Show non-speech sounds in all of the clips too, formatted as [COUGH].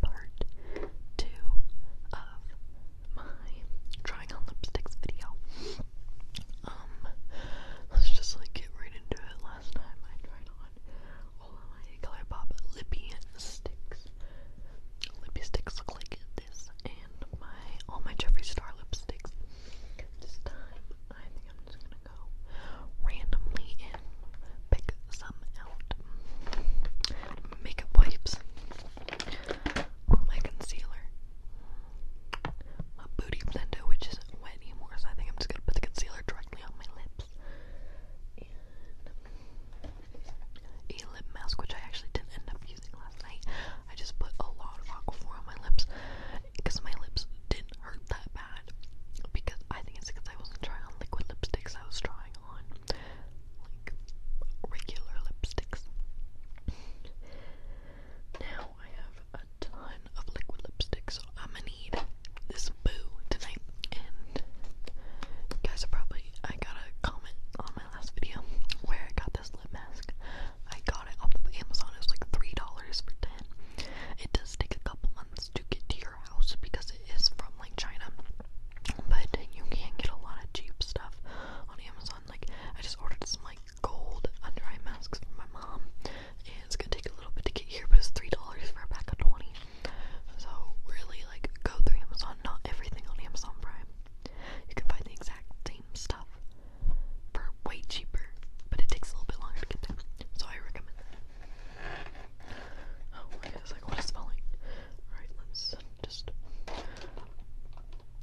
part two of my trying on lipsticks video. Um, let's just like get right into it. Last time I tried on all of my Color Pop sticks. Lippy sticks look like this, and my all my Jeffree Star lipsticks. This time, I'm just gonna go randomly pick some out. Makeup wipes. My concealer. My booty blender, which isn't wet anymore, so I think I'm just gonna put the concealer directly on my lips. a lip mask, which I actually didn't end up using last night. I just put a lot of Aquaphor on my lips because my lips didn't hurt that bad. Because I think it's because I wasn't trying on liquid lipsticks, I was trying on like regular lipsticks. now I have a ton of liquid lipstick, I'ma need this boo tonight. guys probably I got a comment on my last video where I got this lip mask. I got it off of Amazon. It like three dollars for ten. It does take a couple months to get to your house because it is from like China. But you can get a lot of cheap stuff on Amazon. Like I just ordered some like gold under eye masks for my mom. And it's gonna take a little bit to get here, but it's three dollars for a pack of twenty. So really like go through Amazon, not everything on Amazon Prime. You can find the exact same stuff for way cheaper, but it takes a little bit longer to get there. So I recommend that. Oh, my God, it's like, what is falling? Alright, let's just. I'm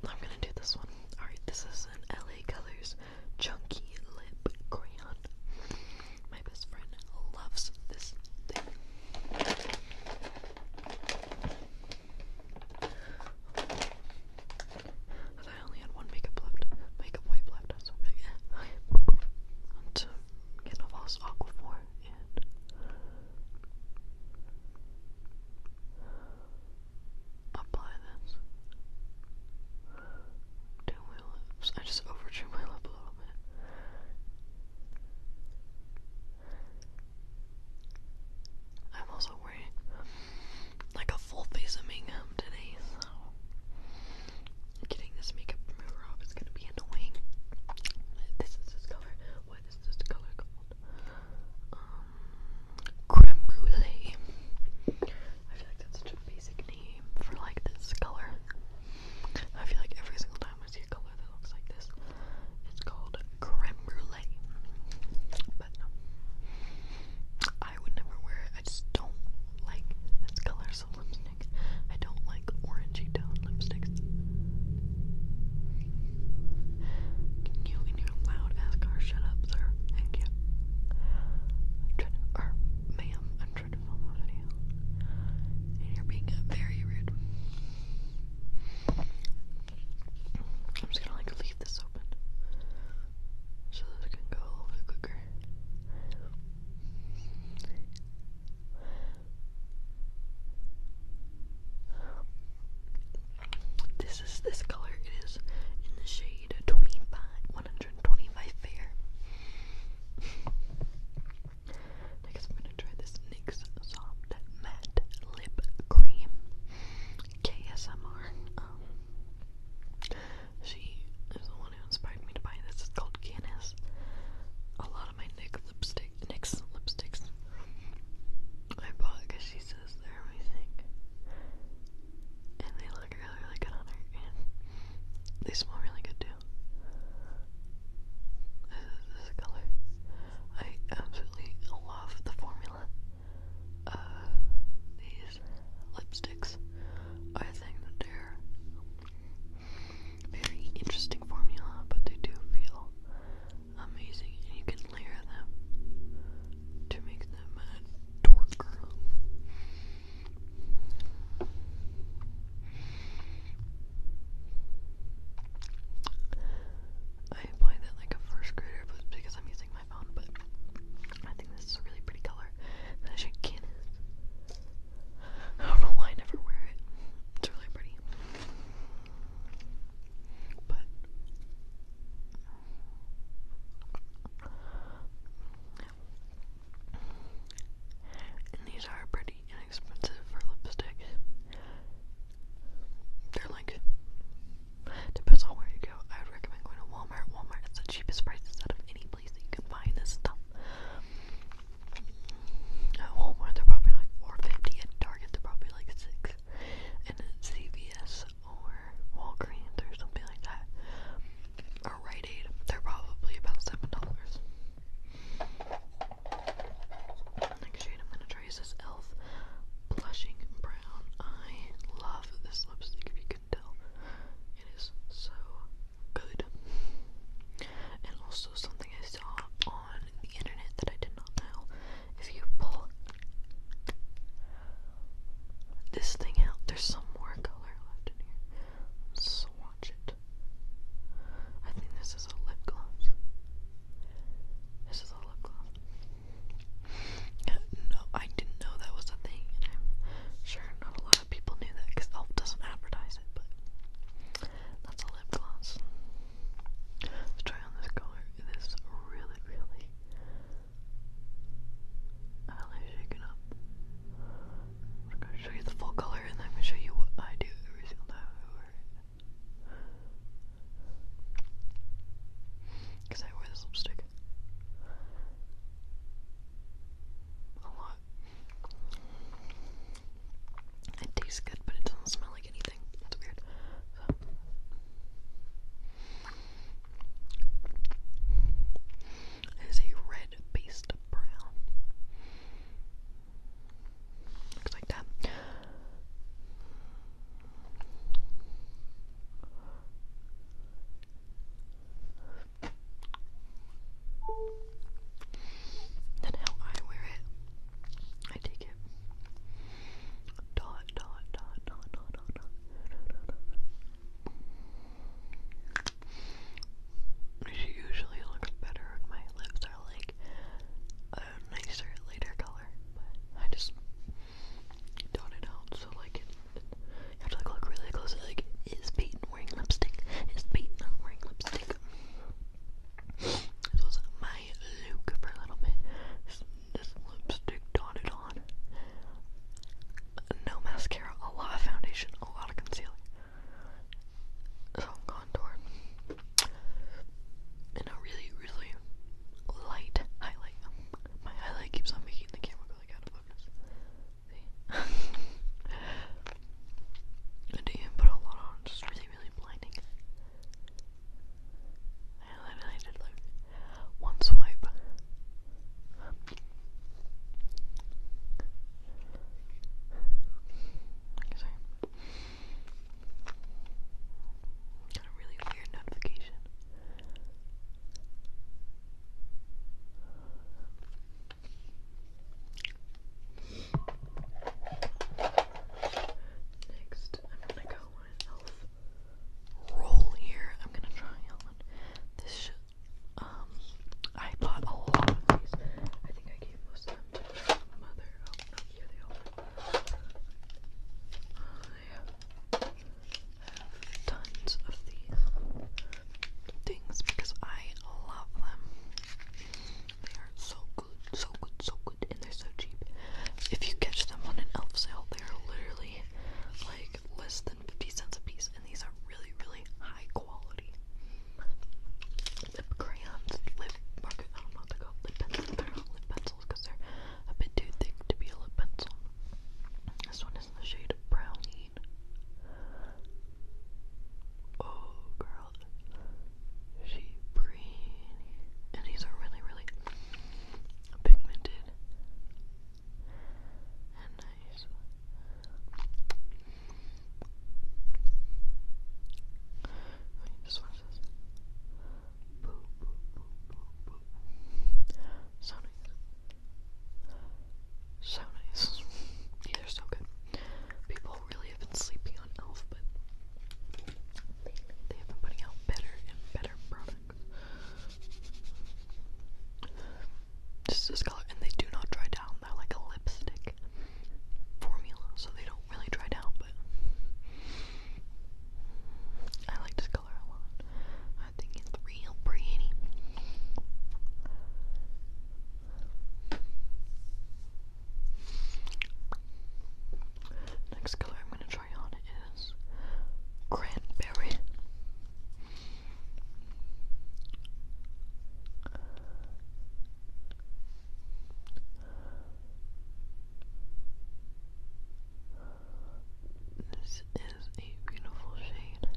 gonna do this one. Alright, this is an LA Colors Chunky Lip Crayon. My best friend loves this thing. I only had one makeup left, makeup wipe left, so yeah. I want to get off Aquaphor. Apply this. To my lips. I just overdrew my lip a little bit. I'm also wearing like a full face of makeup today, so Getting this makeup remover off is gonna be annoying. This is this color. What is this color called? Um, creme brulee. I feel like that's such a basic name for like this color. I feel like every single time I see a color that looks like this, it's called creme brulee. But I would never wear it. I just don't like this color, types lipsticks. I don't like orangey toned lipsticks. you in your loud ass car shut up, sir? Thank you. or ma'am, I'm trying to film a video. And you're being very rude. I'm just gonna like leave this open so that can go a little bit quicker. This is this color. It is in the shade 25, 125 fair. Next, I'm gonna try this NYX Soft Matte Lip Cream KSMR. Um, she is the one who inspired me inspired me to buy this. It's called Guinness. A lot of my Nick lipstick, Nick's lipsticks, I bought because she says they're amazing, and they look really, really good on her, and they smell really good too. This is this color. I absolutely love the formula of these lipsticks. I think that they're very interesting formula, but they do feel amazing, and you can layer them to make them uh, darker. I apply that like a first grader, but because I'm using my phone, but I think this is a really pretty color [LAUGHS] that I should canvas. I don't know why I never wear it. It's really pretty. But these are pretty inexpensive for lipstick. They're like depends on where you go. I would recommend going to Walmart. Walmart is the cheapest prices out of any place you can find this stuff. At Walmart, they're probably like four fifty. At Target, they're probably like six. And at CVS or Walgreens or something like that, or Rite Aid, they're probably about seven dollars. Next shade I'm gonna try is this Elf Blushing Brown. I love this lipstick. If you can tell, it is so good. And also something I saw on the internet that I did not know. If you pull this thing out, there's some more color left in here. Swatch it. I think this is a lip gloss. This is a lip gloss. Uh, no, I didn't know that was a thing, sure not a lot so people knew that because Elf doesn't advertise it, but that's a lip gloss. Let's try on this color. This really, really highly shaken up. I'm gonna show you the full color and then I'm gonna show you what I do every single time I wear it. Because I wear this lipstick a lot it tastes good, but it doesn't smell like anything. That's weird. So. a red based brown. Looks like that than how I wear it. I take it. Dot, dot, dot, dot, dot, dot, dot, usually looks better when my lips are like a nicer, lighter color, but I just dot it out so like you have to like look really close. Like, is Peyton wearing lipstick? Is Peyton wearing lipstick? This was my look for a little bit. this lipstick dotted on. No mascara, a lot of foundation, a lot of concealer. Some contour. And a really, really light highlight. My highlight keeps on making the camera go like out of focus. See? [LAUGHS] I do put a lot on, it's just really, really blinding. I literally did like one swipe. Like I say, got a really weird notification. Next, I'm gonna go on elf roll here. I'm gonna try on this Um, I bought a lot of these. I think I gave most of them to my mother. Oh, they are. I have tons of these things because I love them. They are so good, so good, so good, and they're so cheap. If you catch them on an elf sale, they are literally like less than 50 cents a piece, and these are really, really high quality. Lip crayons, lip markers, I don't know what they're not lip pencils because they're a bit too thick to be a lip pencil. This one is in the shade Brownie. Oh, girl. She pretty. And these are really, really pigmented and nice. Wait, this one says boo, boo, boo, boo, boo. So nice. So nice. [LAUGHS] they're so good. People really have been sleeping on Elf, but they have been putting out better and better products. Just this color, and they do not dry down. They're like a lipstick formula, so they don't really dry down, but I like this color a lot. I think it's real pretty. Next color I'm going to try on is Cranberry. This is a beautiful shade.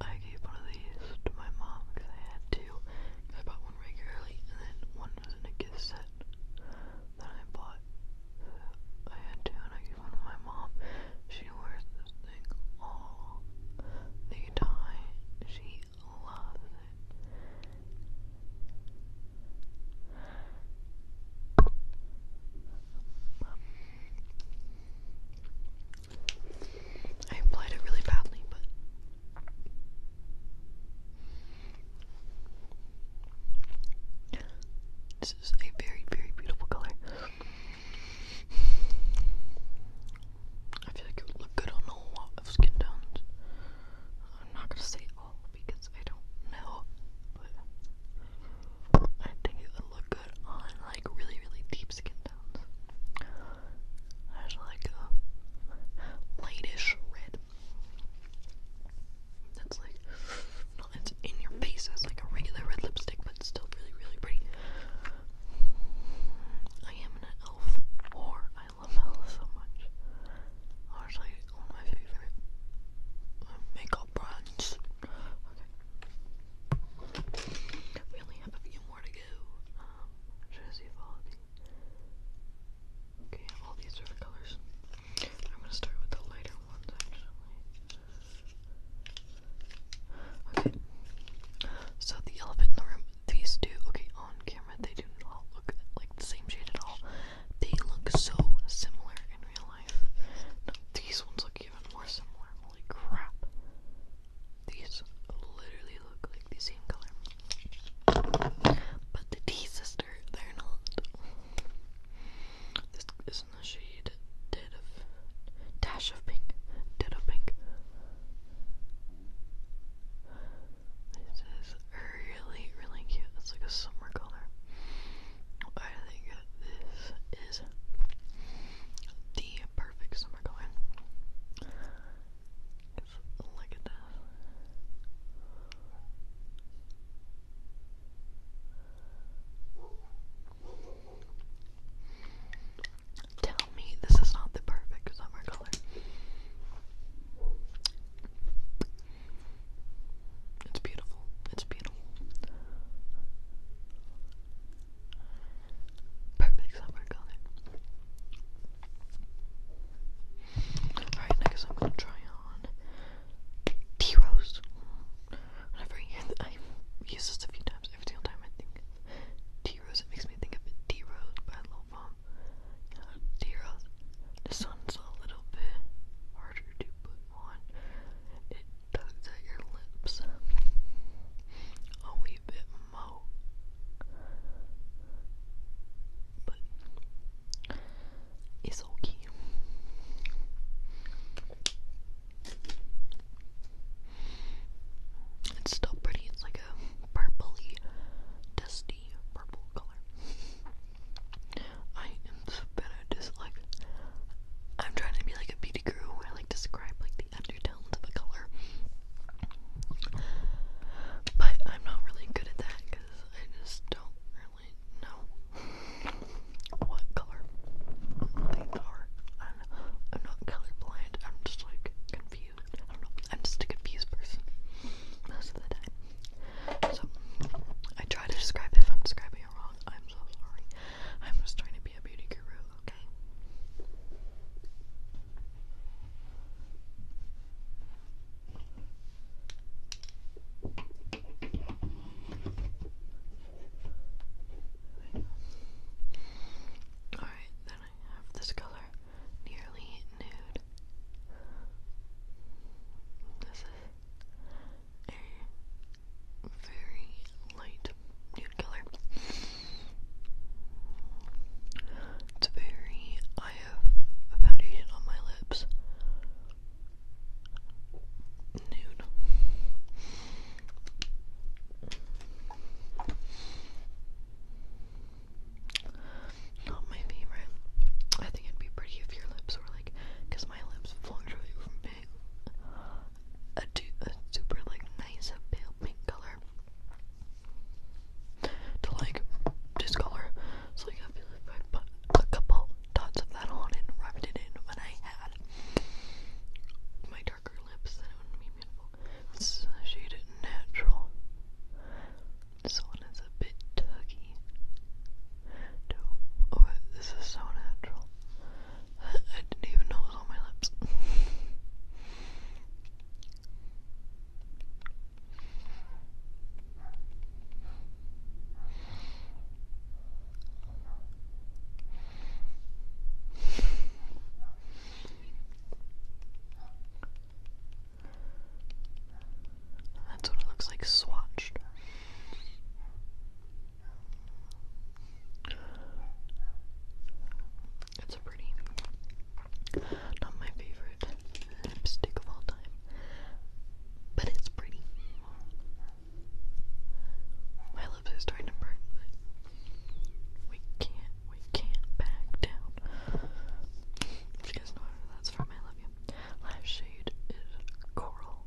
I gave one of these to my mom because I had to. I bought one regularly, and then one was in a gift set that I bought. So I had to, and I gave one to my mom. She wears this thing all the time. She loves it. I applied it really badly, but this is a very, very beautiful color. I feel like it would look good on a lot of skin tones. I'm not gonna say all because I don't know, but I think it would look on like really, really deep skin tones. There's like a uh, lightish red. That's like not it's in your face as like a regular red lipstick, but still really, really pretty. I am an elf, or I love elf so much. Honestly, one of my favorite uh, makeup brands. Okay more to go. Um, should I save all of these? Okay, all these different colors. I'm gonna start with the lighter ones Okay. So the elephant in the room, these two, okay, on camera they do not look like the same shade at all. They look so similar in real life. No, these ones look even more similar. Holy crap. These literally look like the same color. But the tea sister, they're not. This is in the shade Dash of Pink. Dead of Pink. This is really, really cute. It's like a summer color. I think this is the perfect summer going. look at that. Tell me this is not the perfect summer color. It's beautiful. It's beautiful. Perfect summer color. Alright, next I'm gonna try on tea rose. Whenever I use this a few times. Every single time I think of rose, it makes me think of it. rose by Lil Pump. You rose. This one's a little bit harder to put on. It tugs at your lips a wee bit mo. But it's okay. It's still pretty. It's like a purpley, dusty purple color. I am so bad at this. I'm trying to be like a beauty guru I like describe like the undertones of a color. But I'm not really good at that because I just don't really know what color things are. I'm, not colorblind, I'm just like confused. I don't I'm just a confused person most of the time. So, I try to describe if I'm describing wrong. I'm so sorry. I'm just trying to be a beauty guru okay? Alright, then I have this color, nearly nude. This is a very light nude color. It's very. I have a foundation on my lips. Nude. Not my favorite. I think it'd be pretty if your lips were like, because my lips fluctuate really big a, super like nice pale pink color to like discolor. So like I put a couple dots of that on and rubbed it in when I had my darker lips, then it would be beautiful. This is the natural. This one is a bit tuggy. Oh, this is so natural. I didn't even know it was on my lips. That's what it looks like swatched. It's a pretty. Not my favorite lipstick of all time, but it's pretty. My lips are starting to burn, but we can't, we can't back down. If you guys know where that's from, I love you. Last shade is Coral.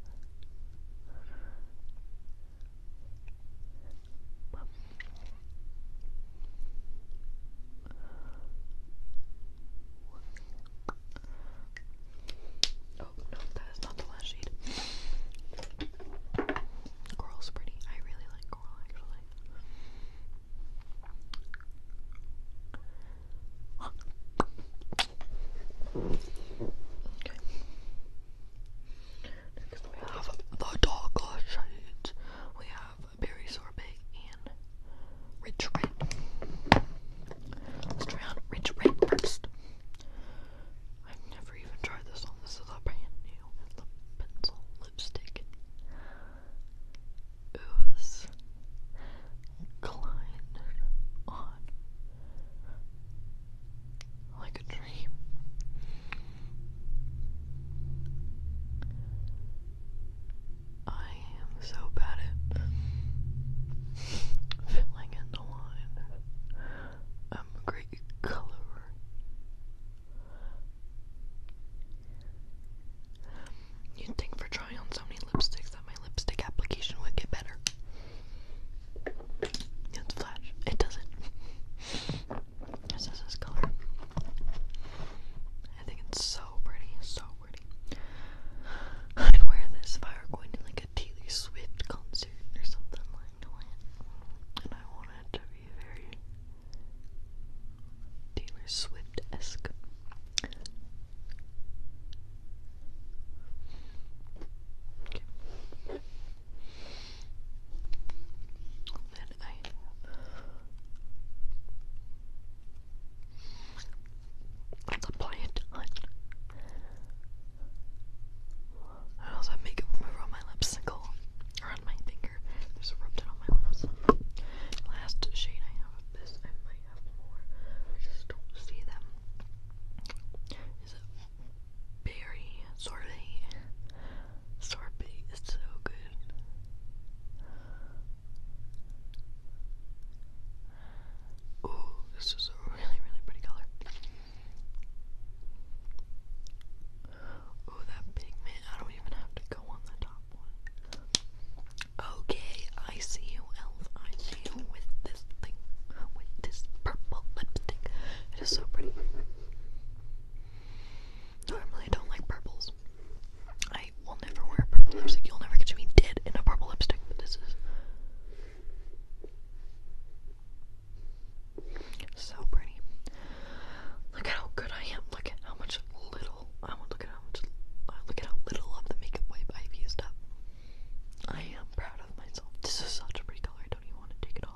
Oh no, that is not the last shade. Coral's pretty. I really like coral actually. Okay. Next we have the Doggo Shades. We have Berry Sorbet and retreat. Let's try on Rich Red first. I've never even tried this one. This is a brand new pencil lipstick. Ooze Klein on like a dream. I am so bad at filling in the line. I'm a great colorer. You'd think for trying on so many lipsticks that my lipstick application would get better. It's flash. It doesn't. This [LAUGHS] is this color. I think it's so pretty, so pretty. I'd wear this if I were going to like a Taylor Swift concert or something like that. And I want to be very Taylor Swift esque. Then I let's apply it I also have makeup remover on my lipsicle or on my finger. Just rubbed it on my lips. Last shade I have of this, I might have more. I just don't see them. Is it berry sortie? Sorbet is so good. Oh, this is a really, really pretty color. Oh, that pigment. I don't even have to go on the top Okay, I see you, Elf. I see you with this thing, with this purple lipstick. It is so pretty. I really don't like purples. I will never wear purple lipstick. You'll never catch me dead in a purple lipstick, but this is so pretty. Look at how good I am. Look at how much little I want. Look how much. Uh, look at how little of the makeup wipe I've used up. I am proud of myself. This is such a pretty color. don't even want to take it off.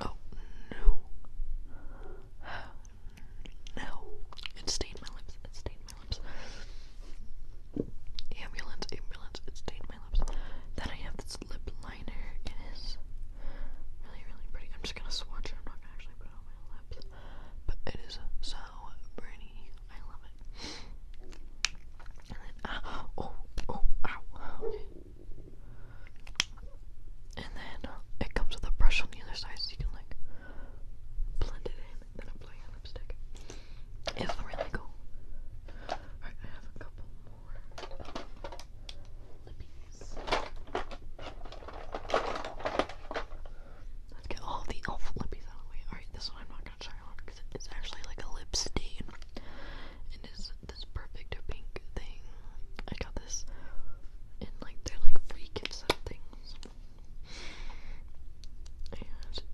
Oh no. No. [SIGHS] It stayed my lips. It stayed my lips. Ambulance, ambulance, it stayed my lips. Then I have this lip liner. It is really, really pretty. I'm just gonna swatch it. I'm not gonna actually put it on my lips. But it is so pretty. I love and then, oh, oh, ow, And then uh, it comes with a brush on the other side so you can like blend it in and then apply your lipstick. It's really cool. Alright, I have a couple more lippies. Let's get all the elf lippies out of the way. Alright, this one I'm not gonna it's actually like a lip stain. It is this perfect pink thing. I got this and like they're like free gift set things.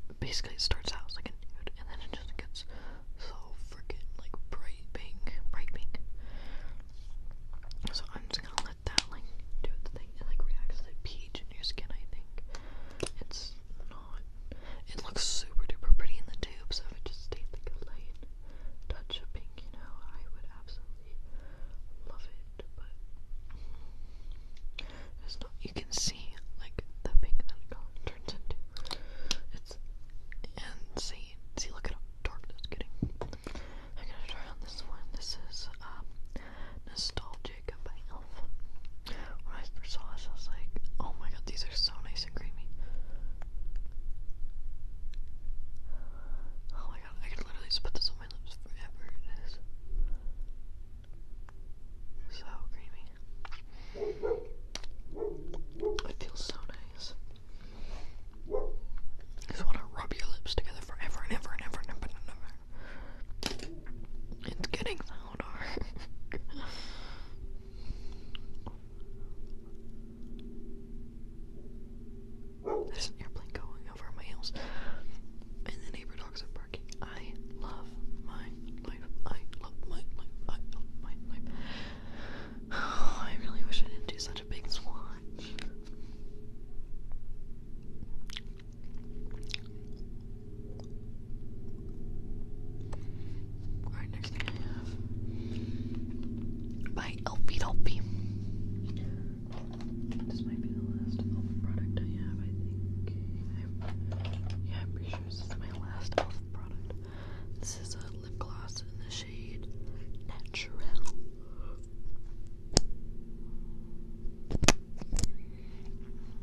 And basically it starts out like a nude and then it just gets so freaking like bright pink. Bright pink. So I'm just gonna let that like do its thing. It like react to the peach in your skin I think. It's not. It looks super duper pretty in the tube, so if it just stayed like a light touch of pink, you know, I would absolutely love it. But it's not. You can see like that pink that it color turns into. It's insane. See, look at dark that's getting. I'm gonna try on this one. This is um nostalgic about when I first saw this. I was like, oh my god, these are so nice and creamy. Oh my god, I could literally just this on my lips forever. It is so creamy. It feels so nice. just want to rub your lips together forever and ever and ever and ever and ever. It's getting louder. [LAUGHS] There's an airplane going over my house, and the neighbor dogs are barking. I love my life. I love my life. I my life. [SIGHS] I really wish I didn't do such a big swatch by Elfie Dolphy. This might be the last elf product I have, I think. yeah, I'm pretty sure this is my last elf product. This is a lip gloss in the shade natural. This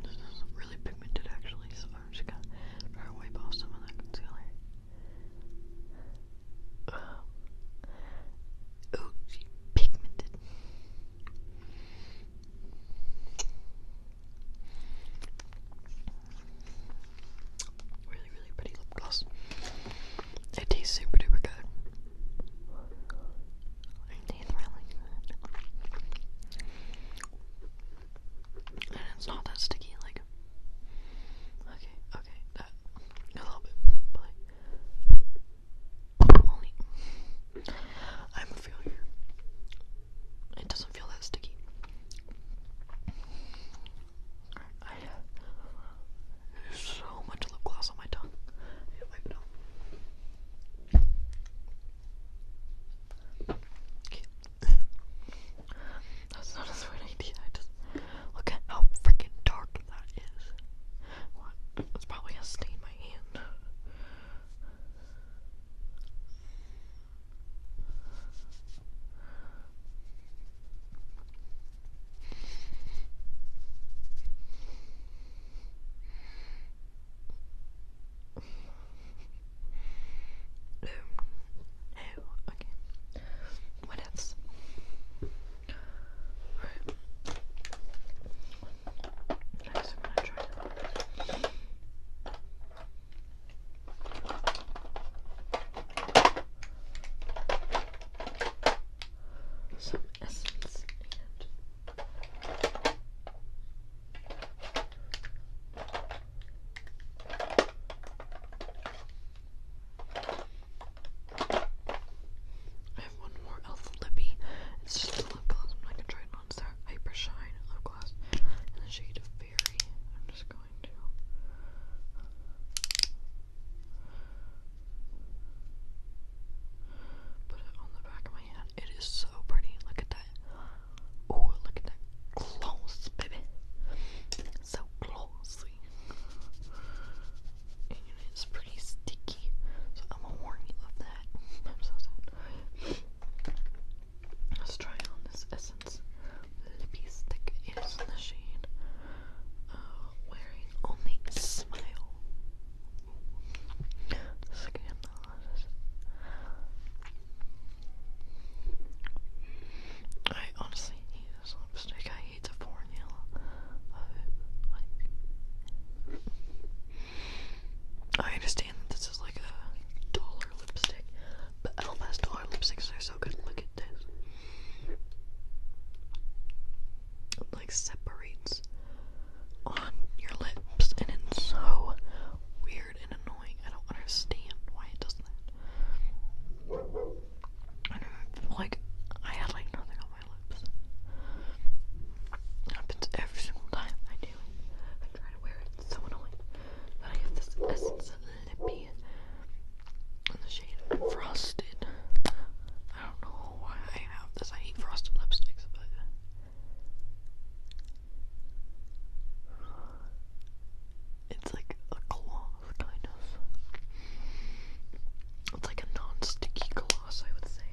is really pigmented actually, so i just gonna wipe off some of that oh, she pigmented. Really, really pretty lip gloss. It tastes super duper good. It really good. And it's not that sticky, like. Okay, okay, that. Uh, a little bit, but. only. I'm a failure. It doesn't feel that sticky. I have so much lip gloss on my tongue. That's not a smart idea. I just look at how freaking dark that is. What? It's probably a stain in my hand. Um, oh, okay. What else? Right. Next, I'm gonna try Some essence and I have one more Elf Lippy. It's just a lip gloss. I'm not gonna try it on. It's Hyper Shine lip gloss in the shade of fairy. I'm just going to. Put it on the back of my it is so pretty. Look at that. Oh, look at that. Close, baby. So closely. it's pretty sticky. So I'm gonna warn you of that. I'm so sad. Let's try on this Essence Lippy Stick. It is in uh, Wearing Only Smile. I honestly hate this lipstick. I hate the formula I understand that this is like a dollar lipstick, but Elmer's dollar lipsticks are so good. Look at this like separates on your lips and it's so weird and annoying. I don't understand why it does that. I don't know, like I had like nothing on my lips. It happens every single time I do I try to wear it. so annoying. But I have this essence of lippy in the shade Frosted. I don't know why I have this. I hate frosted lipsticks, but it's like a cloth, kind of. It's like a non-sticky gloss, I would say.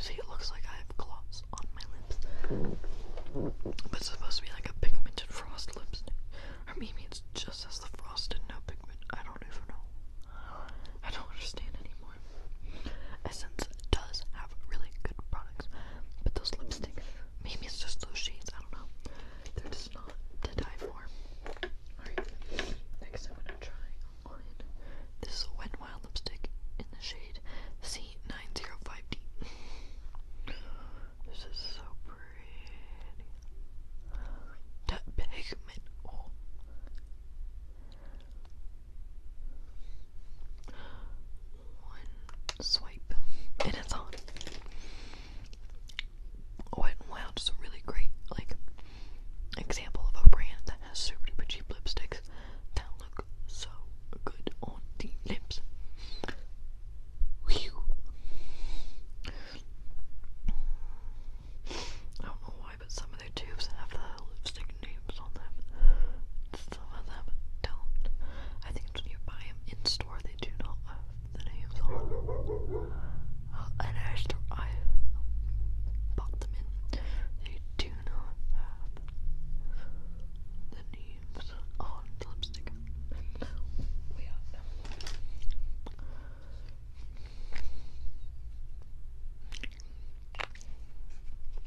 see, it looks like I have gloss on my lips. But it's supposed to be like a pigmented frost lipstick. Or maybe it's just as the frost frosted no pigment. I don't even know. I don't understand anymore. Essence does have really good products, but those lipsticks, maybe it's just those shades, I don't know. They're just not to die for. Alright, next I'm gonna try on this Wet Wild lipstick in the shade C905D. This is so pretty that pigment one swipe and it's on. Wet n Wild is a really great like example of a brand that has super duper cheap lipsticks that look so good on the lips. I don't know why, but some of their tubes have the lipstick names on them. Some of them don't. I think it's when you buy them in store, they do not have the names on them. Uh, I, bought them in, they do not have the names on the lipstick. We are.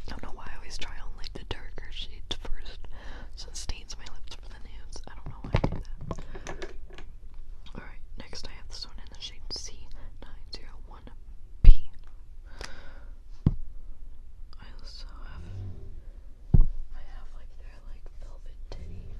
I don't know why I always try on like the darker shades first, so stains my lips for the nudes. I don't know why I do that. Alright, next I have this one in the shade C901B. I also have, I have like their like velvet titties.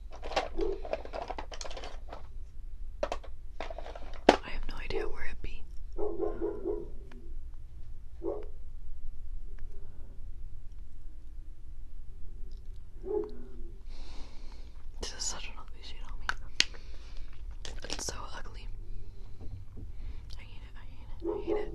I have no idea where it be. This is such an ugly shade on me. It's so ugly. I hate it, I hate it, I hate it.